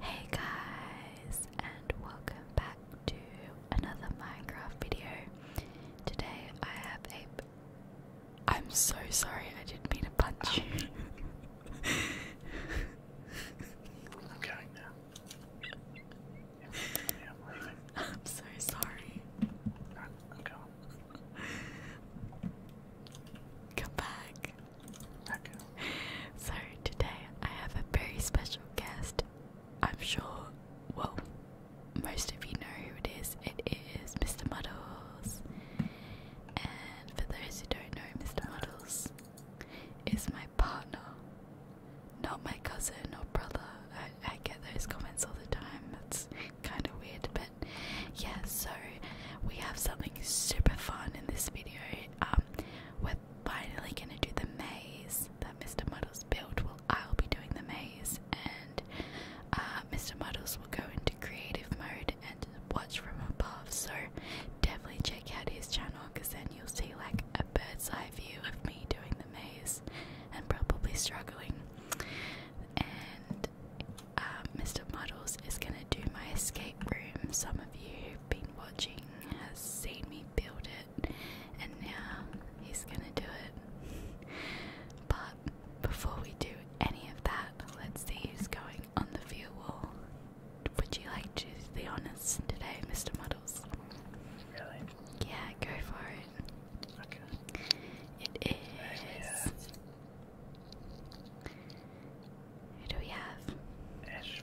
Hey guys, and welcome back to another Minecraft video. Today I have a. I'm so sorry, I didn't mean to punch you. I'm going now. I'm so sorry. Come back. So today I have a very special guest. I'm sure, well, most of you know who it is. It is Mr. Muddles. And for those who don't know, Mr. Muddles is my partner, not my cousin or brother. I, get those comments all the time. That's kind of weird, but yeah. So we have something super fun in this video. Um, we I'm finally gonna do the maze that Mr. Muddles built. Well, I'll be doing the maze, and uh, Mr. Muddles will go into creative mode and watch from above. So definitely check out his channel, because then you'll see like a bird's eye view of me doing the maze and probably struggling. And uh, Mr. Muddles is gonna do my escape room. Some of you have been watching has seen me build it, and now he's gonna do it. But before we do any of that, let's see who's going on the view wall. Would you like to choose the honors today, Mr. Muddles? Really? Yeah, go for it. Okay. It is. Who do we have? Ashby.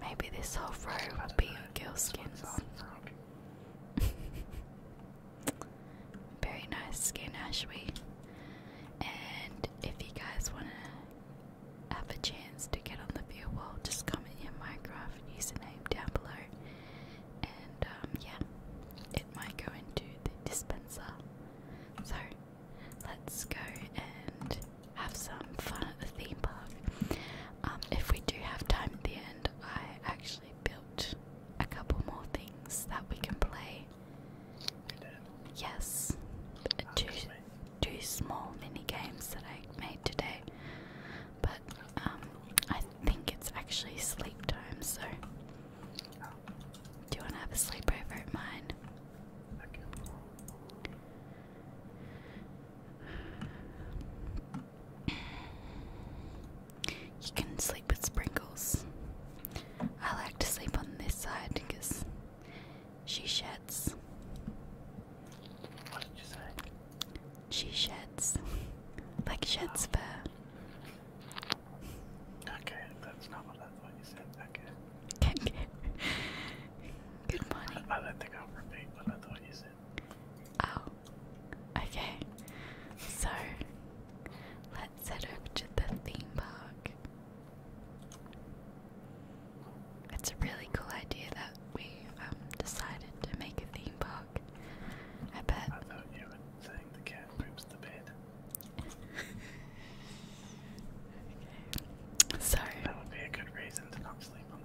Maybe this whole row will be in girl skins. Very nice skin, Ashby. And if you guys want to have a chance to get on the view wall, just comment your Minecraft username down below. And um, yeah, it might go into the dispenser. So let's go and have some fun at the theme park. Um, if we do have time at the end, I actually built a couple more things that we can play. You did? Yes, oh, two, two small mini games that I made today. But um, I think it's actually sleep time, so. Do you want to have a sleepover at mine? Okay. You can sleep with sprinkles. I like to sleep on this side because she sheds. What did you say? She sheds. like sheds fur. Okay, that's not what I thought you said. Okay. Good morning. I don't think I'll repeat what I thought you said. Oh, okay. So, let's head over to the theme park. It's a really cool idea that we um, decided to make a theme park. I bet. I thought you were saying the cat poops the bed. okay. That would be a good reason to not sleep on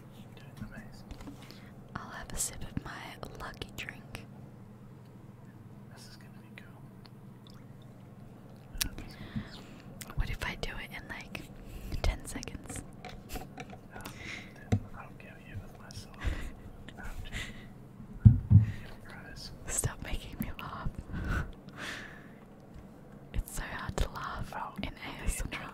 I'll have a sip of my lucky drink. What if I do it in like 10 seconds? Stop making me laugh. it's so hard to laugh oh, in ASMR.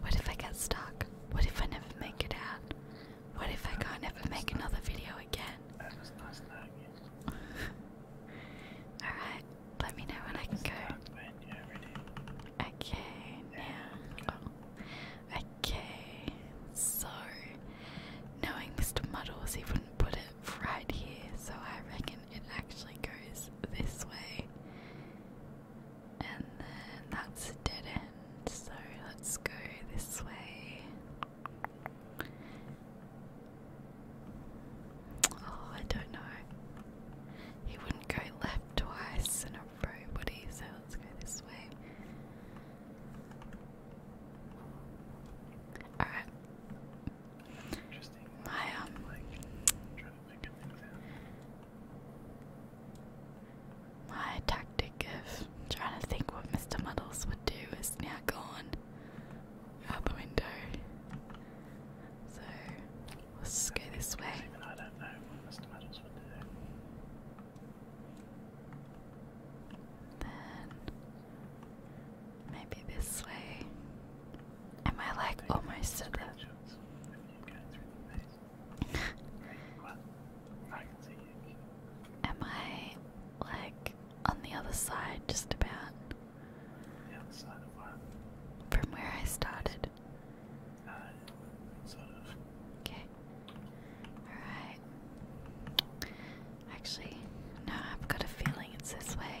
What if I get stuck? What if I never make it out? What if I can't ever make another video again? Alright, let me know when I can go. Okay, now. Oh. Okay, so. Knowing Mr. Muddles, he put it right here, so I reckon it actually goes this way. And then that's a dead end, so let's go this way. Oh, I don't know. He wouldn't go left twice in a row, would he? So let's go this way. Alright. Interesting. My um. trying to think my tactic of trying to think what Mr. Muddles would do is now gone out the window. So let's go this way. Then maybe this way. Am I like almost Am I like on the other side just about the other side of what? From where I started. Uh, okay. Alright. Actually, no, I've got a feeling it's this way.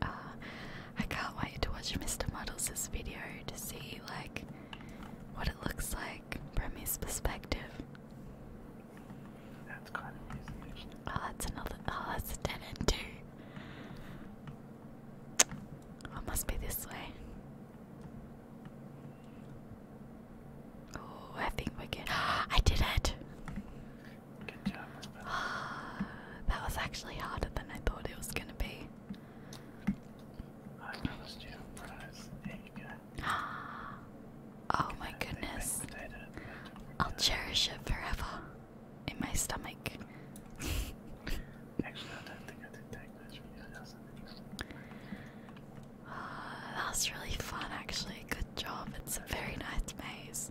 Uh, I can't wait to watch Mr. Muddles' video to see like what it looks like from his perspective. That's kind of easy. Oh, that's another. Oh, that's a dead end too. Oh, it must be this way. Oh, I think we're I did it! That was actually harder than I thought it was gonna be. I oh my goodness. I'll cherish it forever in my stomach. that was really fun, actually. Good job. It's a very nice maze.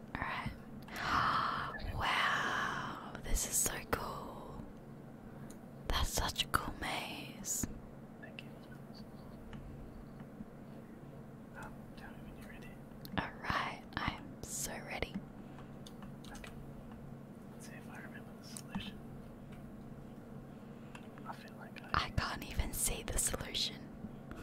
Alright. Wow, this is so cool. That's such a cool maze. Thank you. Um, tell me when you're ready. Alright, I'm so ready. Let's see if I remember the solution. I feel like I. I can't even see the solution. Oh.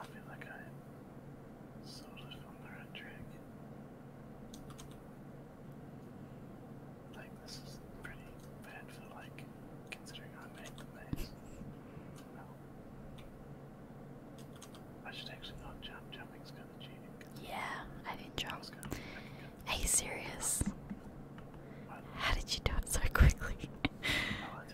I feel like I sort of on the right track. Like this is pretty bad for like considering I made the maze. I should actually not jump. Jumping is kind of cheating. Yeah, I didn't jump. Are you serious? How did you do it so quickly? Oh,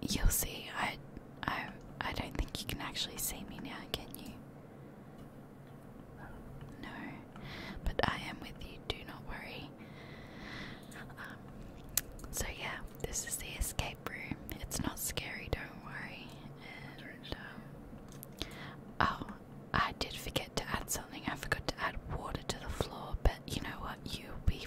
You'll see. I, I, I don't think you can actually see me now, can you? No, but I am with you. Do not worry. Um, so yeah, this is the escape room. It's not scary. Don't worry. Um, oh, I did forget to add something. I forgot to add water to the floor. But you know what? You'll be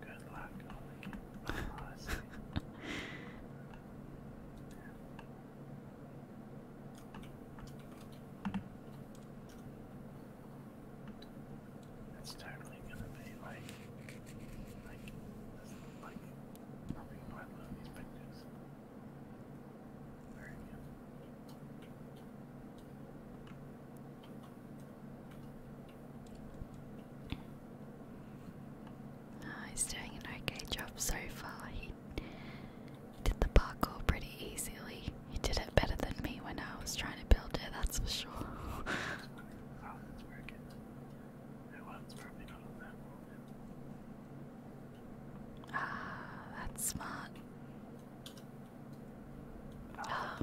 Good luck. I'll make That's totally gonna be like, like, like, probably one of these pictures. Very good. Ah, he's doing an okay job so far. He did the parkour pretty easily. He did it better than me when I was trying to build it, that's for sure. Ah, that's smart. Ah, ah.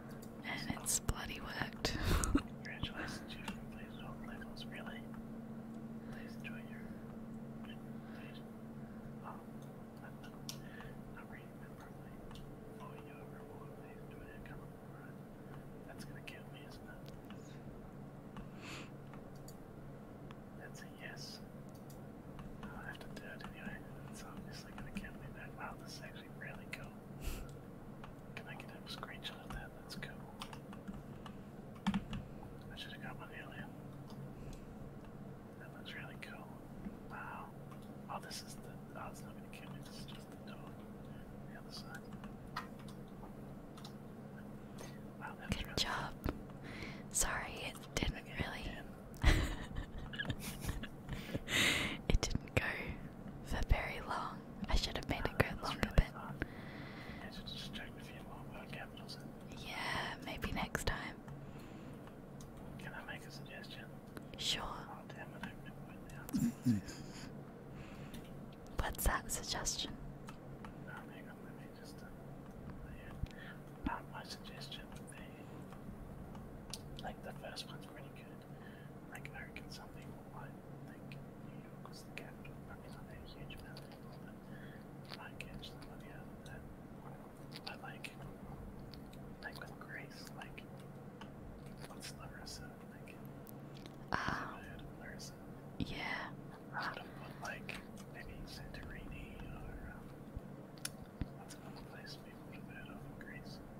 And it's bloody worked. Congratulations, you completed all levels, really. Please enjoy your I'm not, reading that properly. Oh, you have a reward, please do it come up That's gonna kill me, isn't it? That's a yes. i have to do it anyway. It's obviously gonna kill me wow, this is actually really cool. Can I get a screenshot of that? That's cool. I should have got my alien. That looks really cool. Wow. Oh, this is the. Oh, it's not going to kill me. This is just the door. The other side. Wow, Good job. Sorry, it didn't really. it didn't go for very long. I should have made no, it go longer, but yeah, maybe next time. Can I make a suggestion? Sure. Oh, mm-hmm. What's that suggestion? Uh, um, my suggestion like the first one's pretty good. Like American something or what? Like New York was the capital, probably not a huge amount of people, I catch somebody out of that. I like like with Grace, like what's Larissa? Like um, Yeah. I would like maybe Santorini or um, what's another place people would have in Greece?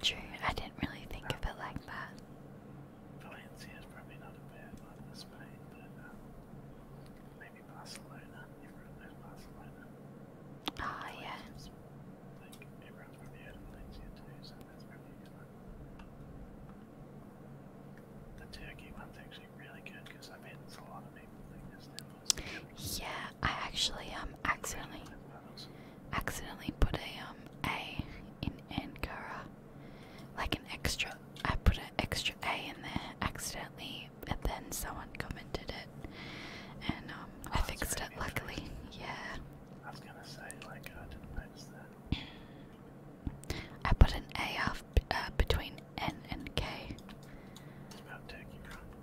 True, I didn't really think of it like that. Valencia probably not a bad one Spain, but um, maybe Barcelona. Everyone knows Barcelona. Ah, yeah. Like, everyone's probably heard of Valencia too, so that's probably good The Turkey one's actually really good because I bet it's a lot of people think this now. Yeah, I actually um accidentally accidentally put a um A in Ankara, like an extra. I put an extra A in there accidentally, and then someone commented it, and um oh, I fixed it. Luckily, yeah. I was gonna say like I didn't notice that. I put an A off, uh, between N and K.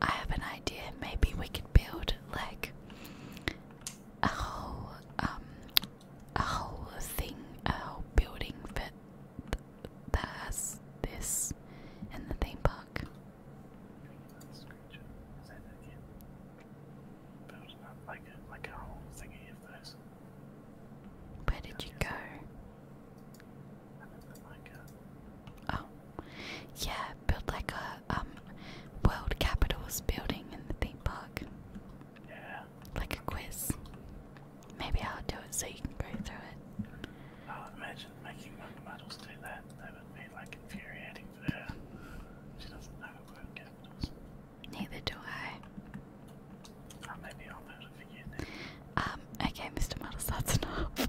I have an idea. Maybe we could build like a whole um a whole thing, a whole building that that has this in the theme park. thingy of those. Where did you go? Oh, yeah, build like a um, world capitals building in the theme park. Yeah. Like a quiz. Maybe I'll do it so you can go through it. I'll oh, imagine making one models do that. That would be like infuriating for her. She doesn't know world capitals. Neither do I. Oh, maybe I'll know to um, okay, Mr. Models, that's enough.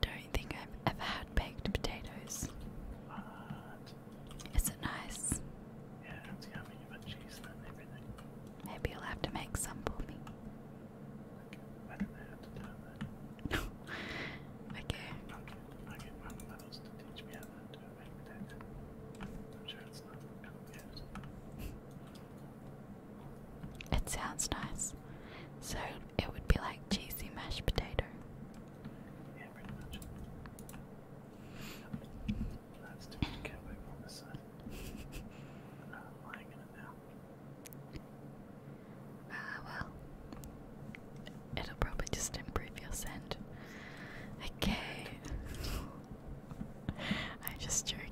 don't think I've ever had baked potatoes. What? Is it nice? Yeah, it's yummy. you cheese and everything. Maybe you'll have to make some for me. Okay, don't know to do that. okay. i get, i to teach me how to do a I'm sure it's not complicated. It sounds nice. So it would be like cheesy mashed potato. Ah, well. It'll probably just improve your scent. Okay. I'm just joking.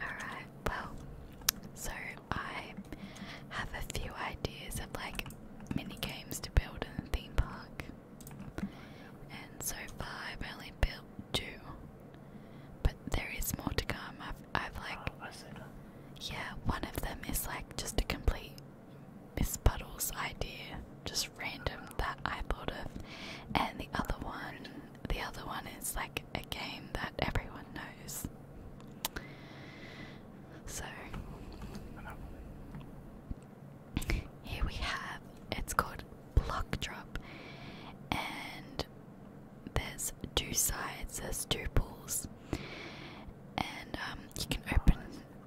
Alright, well, so I have a few ideas of like mini games to build in the theme park. And so far I've only built two. But there is more to come. I've, I've like. Ah, yeah, one of them is like just a complete Miss Puddle's idea, just random that I thought of. And the other one the other one is like a game that everyone knows. So here we have it's called Block Drop, and there's two sides, there's two pools, and um, you can open,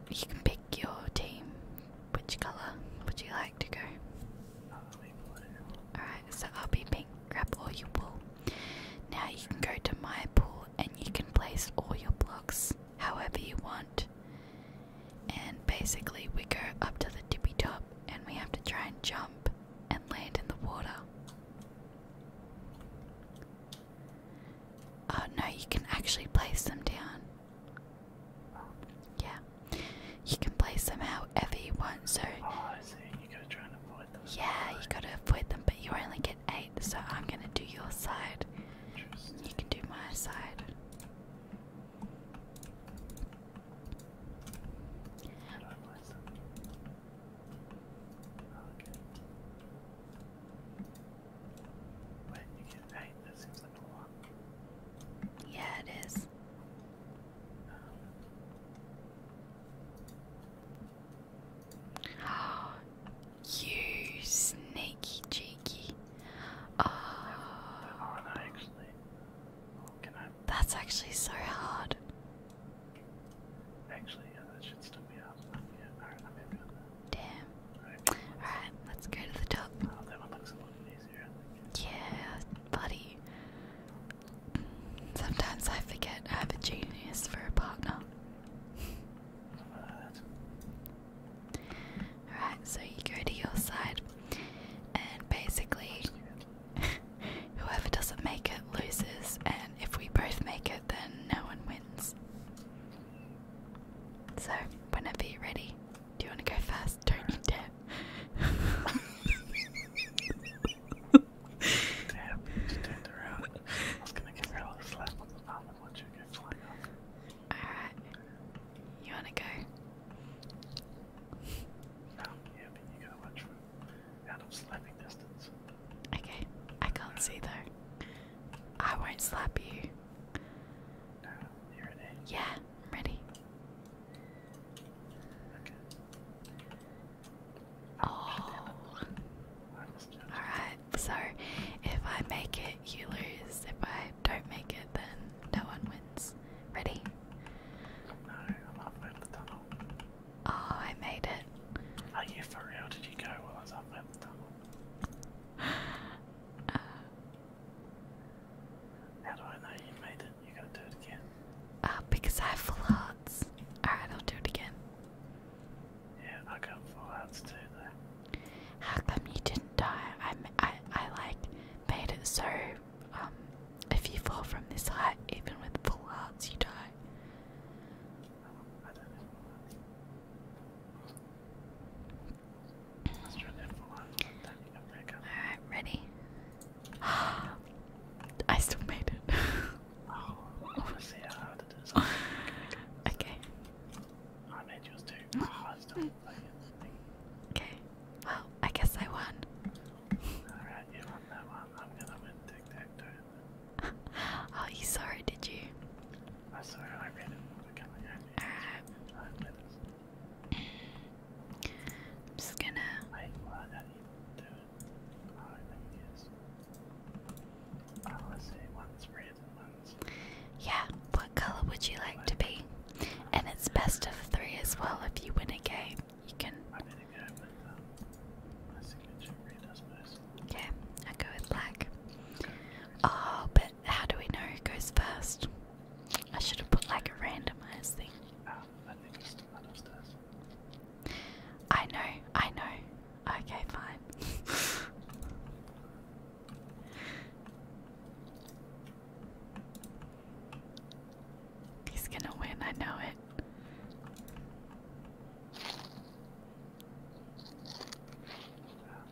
you can pick your team, which color would you like to go? All right, so I'll be grab all your wool. Now you can go to my pool and you can place all your blocks however you want. And basically, we go up to the tippy top and we have to try and jump and land in the water. Oh no, you can actually place them down. Yeah. You can play them however you want, so oh, Yeah, you gotta avoid them, but you only get eight, so I'm gonna do your side. You can do my side. Yeah, it is. you sneaky cheeky. Oh, That's actually so hard. Actually, yeah, that should still be up. Yeah, Damn. Alright, let's, go to the top. Oh, yeah, buddy. Sometimes I forget I have a genius for a partner. Alright, so you go to your side, and basically, whoever doesn't make it loses, and if we both make it, then no one wins. So, whenever you're ready, do you want to go first? Don't you dare. Damn, she turned around. I was gonna give her a little slap on the mouth and let you get flying off. Alright. You wanna go? No, yeah, but you gotta watch from out of slapping distance. Okay, I can't see though. I won't slap you. No, you're ready? Yeah, I'm ready. Okay. Oh. Alright, so if I make it, you lose. If I don't make it, then no one wins. Ready? No, I'm halfway up the tunnel. Oh, I made it. Are you for Did you go while I was halfway up the tunnel? Uh. How do I know you made it? You're gonna do it again. Uh, because I have full hearts. Alright, I'll do it again. Yeah, I got full hearts too, though. How come you didn't die? I, I, I like, made it so, um, if you fall from this height, even with full hearts, you die. I don't have full hearts. let full hearts. Alright, ready? I still made it. oh, I Okay. I made yours too. Mm. Oh, mm. Okay. Well, I guess I won. Alright, you won that one. I'm gonna oh, you saw it, did you? I saw it. I read it. Okay, I am just gonna and Yeah, what color would you like to be? And it's best of three as well. If you win a game, you can. Okay, i go with black. Oh, but how do we know who goes first? I should have put like a randomized thing. I know, I know. Okay, fine. He's gonna win, I know it. Uh,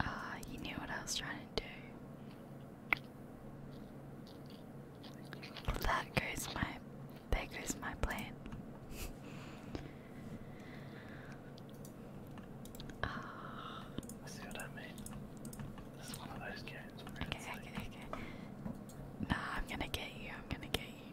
Ah, you knew what I was trying to do. That goes my there goes my plan. uh, I see what I mean. This is one of those games okay, okay, okay. Nah, I'm gonna get you, I'm gonna get you.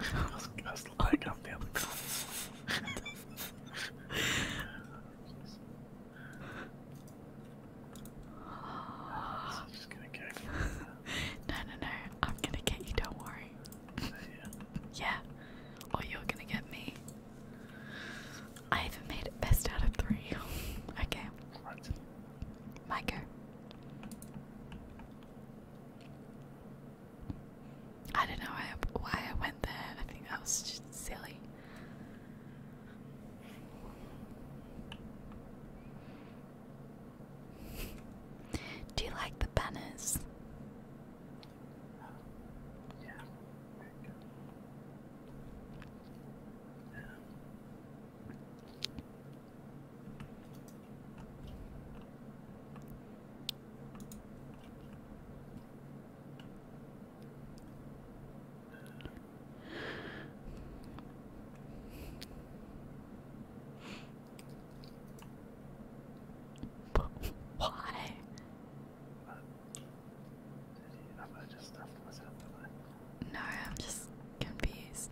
I am just gonna get No, no, no. I'm gonna get you, don't worry. Yeah. yeah. Or you're gonna get me. I even made it best out of three. okay. Right. My go. I don't know why I went there. I think that was just silly. Do you like the banners? But why? just stuffed myself, No, I'm just confused.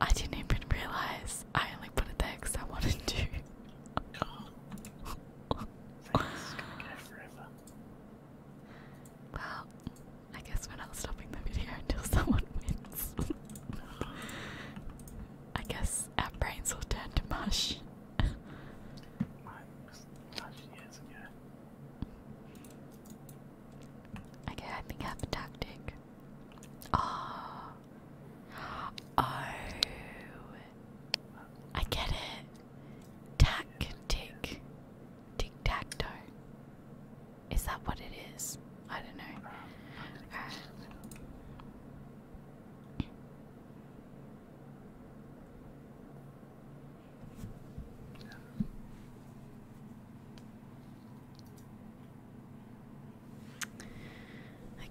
I didn't even realize I only put it there because I wanted to. I guess we're not stopping the video until someone wins. I guess our brains will turn to mush. Okay, I think I have a tactic. Oh. Oh. I get it. Tactic. Tic tac toe. Is that what it is? I don't know. Alright.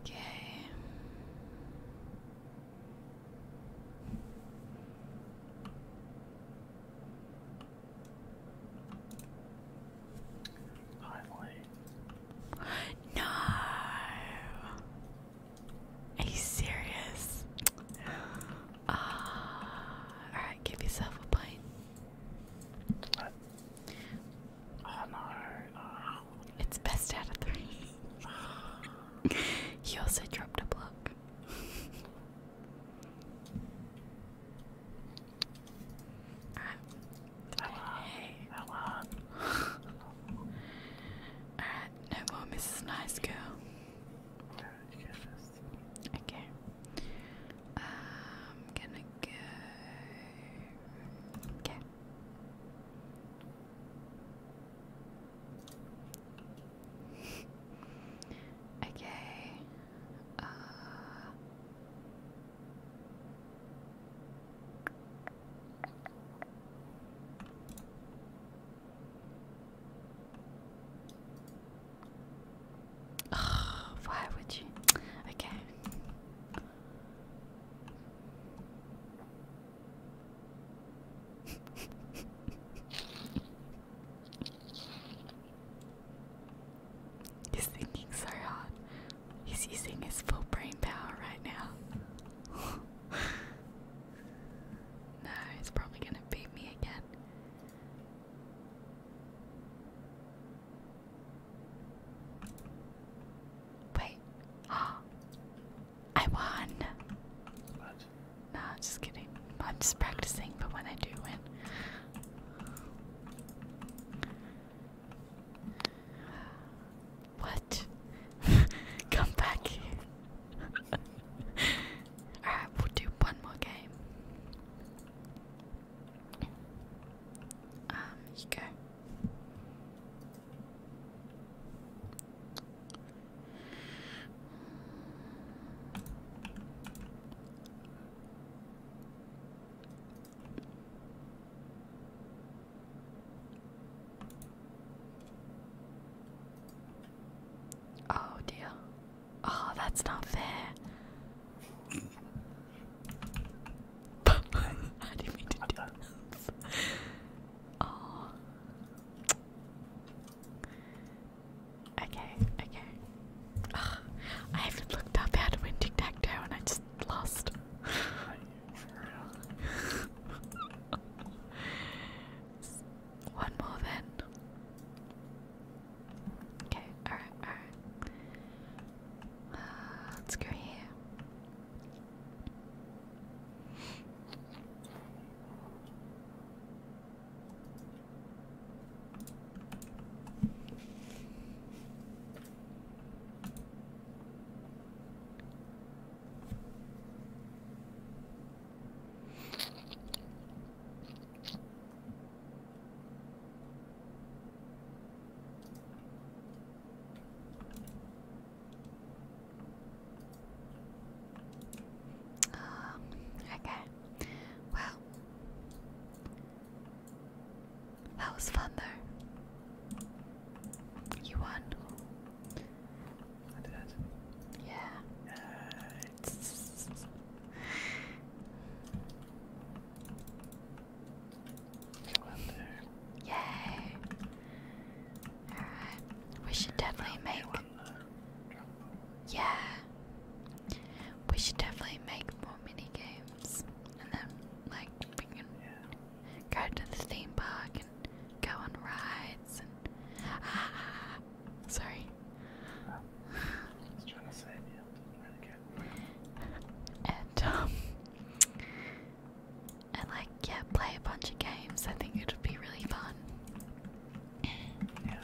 Okay. Finally. No. Are you serious? Ah, all right, give yourself a point. Oh no! Oh. It's best out of three. Oh. he also dropped a block. all right. Hello. All right, no more Mrs. Nice Girl. Oh, Okay. I'm um, gonna go. Okay. okay. Uh why would you? Okay. He's thinking so hard. He's using his full brain power right now. no, he's probably gonna beat me again. Wait. I won. Nah, just kidding. I'm just practicing, but when I do win. What? Come back Alright, we'll do one more game. Um, you go. Oh dear. Oh, that's not fair. I didn't mean to do that. oh. Okay, okay. Oh, I haven't looked up how to win tic and I just lost. One more then. Okay, alright, alright. Uh, let's go here. Um, okay. Well, that was fun though. You won. I did. Yeah. Yay! Alright, we should definitely make. Yeah, we should definitely make more mini games, and then like we can go to the theme park and go on rides and. Ah, sorry. I And um, and like yeah, play a bunch of games. I think it would be really fun. Yeah,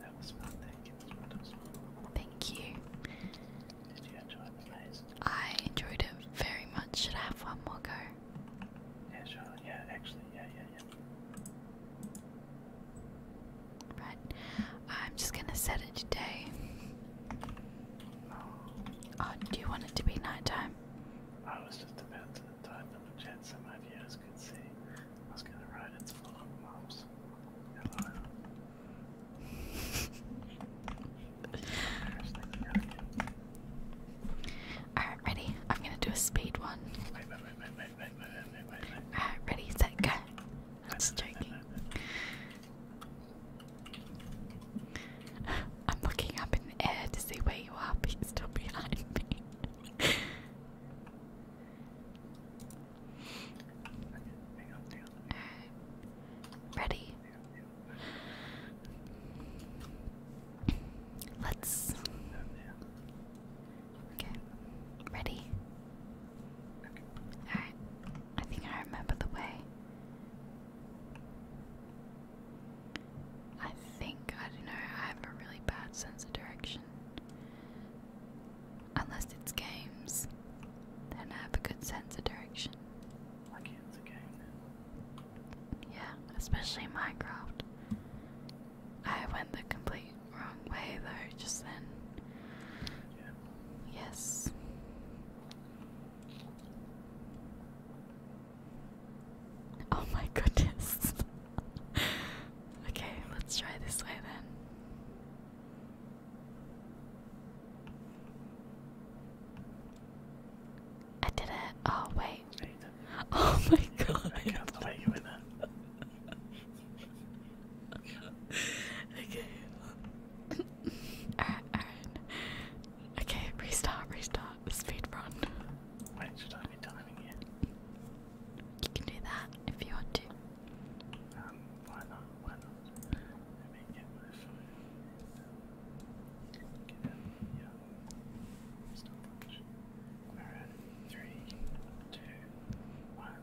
that was fun. Thank you. That was fun. Thank you. Did you enjoy the maze? I enjoyed it very much. Should I have one more go? Yeah, sure. Yeah, actually, yeah, yeah, yeah. Right. I'm just gonna set it today. Oh, do you want it to be nighttime? I was just about to type in the chat so my viewers could see. I was gonna ride it full of mobs. Hello. Alright, ready? I'm gonna do a speed one wait, wait, wait, wait, wait, wait. Alright, ready, set, go. I'm just looking up in the air to see where you are, but you're still behind me. Ready? Let's Okay, ready? Alright, I think I remember the way. I think, I don't know, I have a really bad sense of direction. Unless it's games, then I have a good sense of direction. Like it's a Yeah, especially Minecraft. I went the complete wrong way though just then. Yes. Oh my goodness. okay, let's try this way then. I did it. Oh wait. Oh my god okay. alright, alright. Okay, restart, restart. Speed run. Wait, should I be timing you? You can do that if you want to. Um, why not? Why not? Let me get my phone. Get out. Yeah. Stop. We're at three, two, one.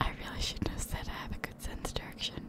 I really shouldn't have said I have a good sense of direction.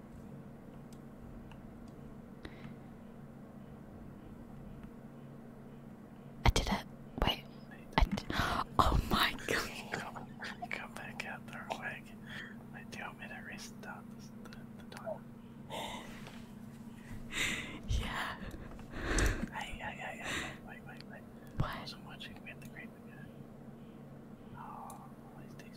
I did it. Wait. I did. Oh my god. Come, come back out there, Wag. Wait, do you want me to restart this, the, the time? yeah. Hey, hey, hey, hey, wait, wait, wait. wait. What? I wasn't watching. We had the great again. Oh, all these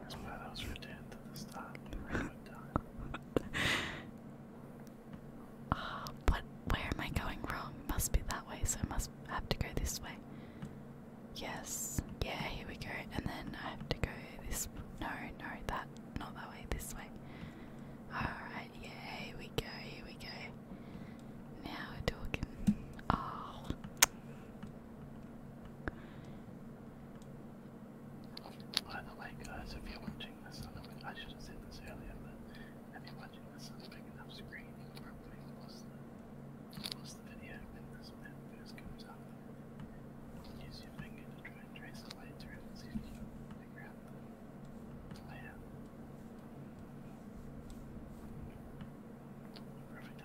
That's why those were dead at the what? Where am I going wrong? Must be that way, so I must have to go this way. Yes. Yeah, here we go. And then I have to go this. No, no, that. Not that way. This way. Alright, yeah, here we go. Here we go. Now we're talking. Oh. By the way, guys, if you're watching this I should have said this earlier, but if you're watching this on a big enough screen, you can probably pause the, pause the video when this map first comes up. Use your finger to try and trace the way through out the layout. Perfect,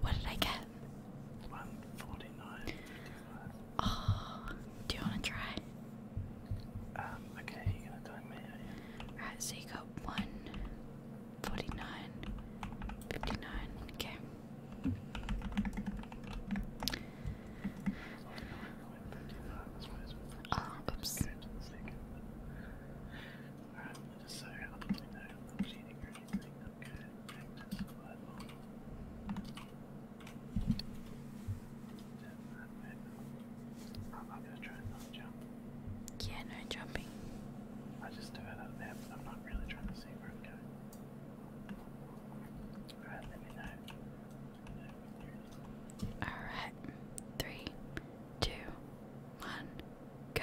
What did I get? 149. Oh, do you want to try? Um, okay, you're gonna time me, are so you got 149, okay. Oh, oops. Alright, just so I do anything I'm not jump. I just do it out there, but I'm not really trying to see where I'm going. Alright, let me know. Alright, three, two, one, go.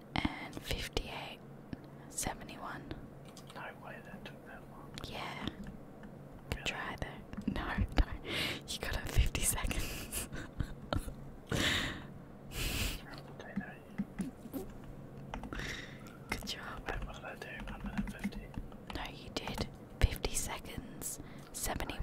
and 58, 71. No way that took that long. Yeah. Good really? try though. No, no. You got it 50 seconds. Good job. Wait, what did I do? 1 minute 50. No, you did. 50 seconds, 71.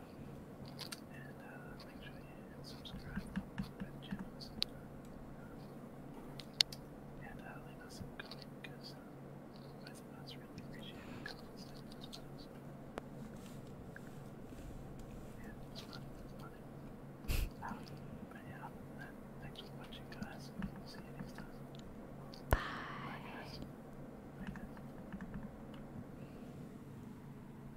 And uh, make sure you subscribe to the channels. And uh, leave us a comment because uh, both of appreciate comments and as but yeah, thanks for watching, guys. See you next time. Bye. Bye,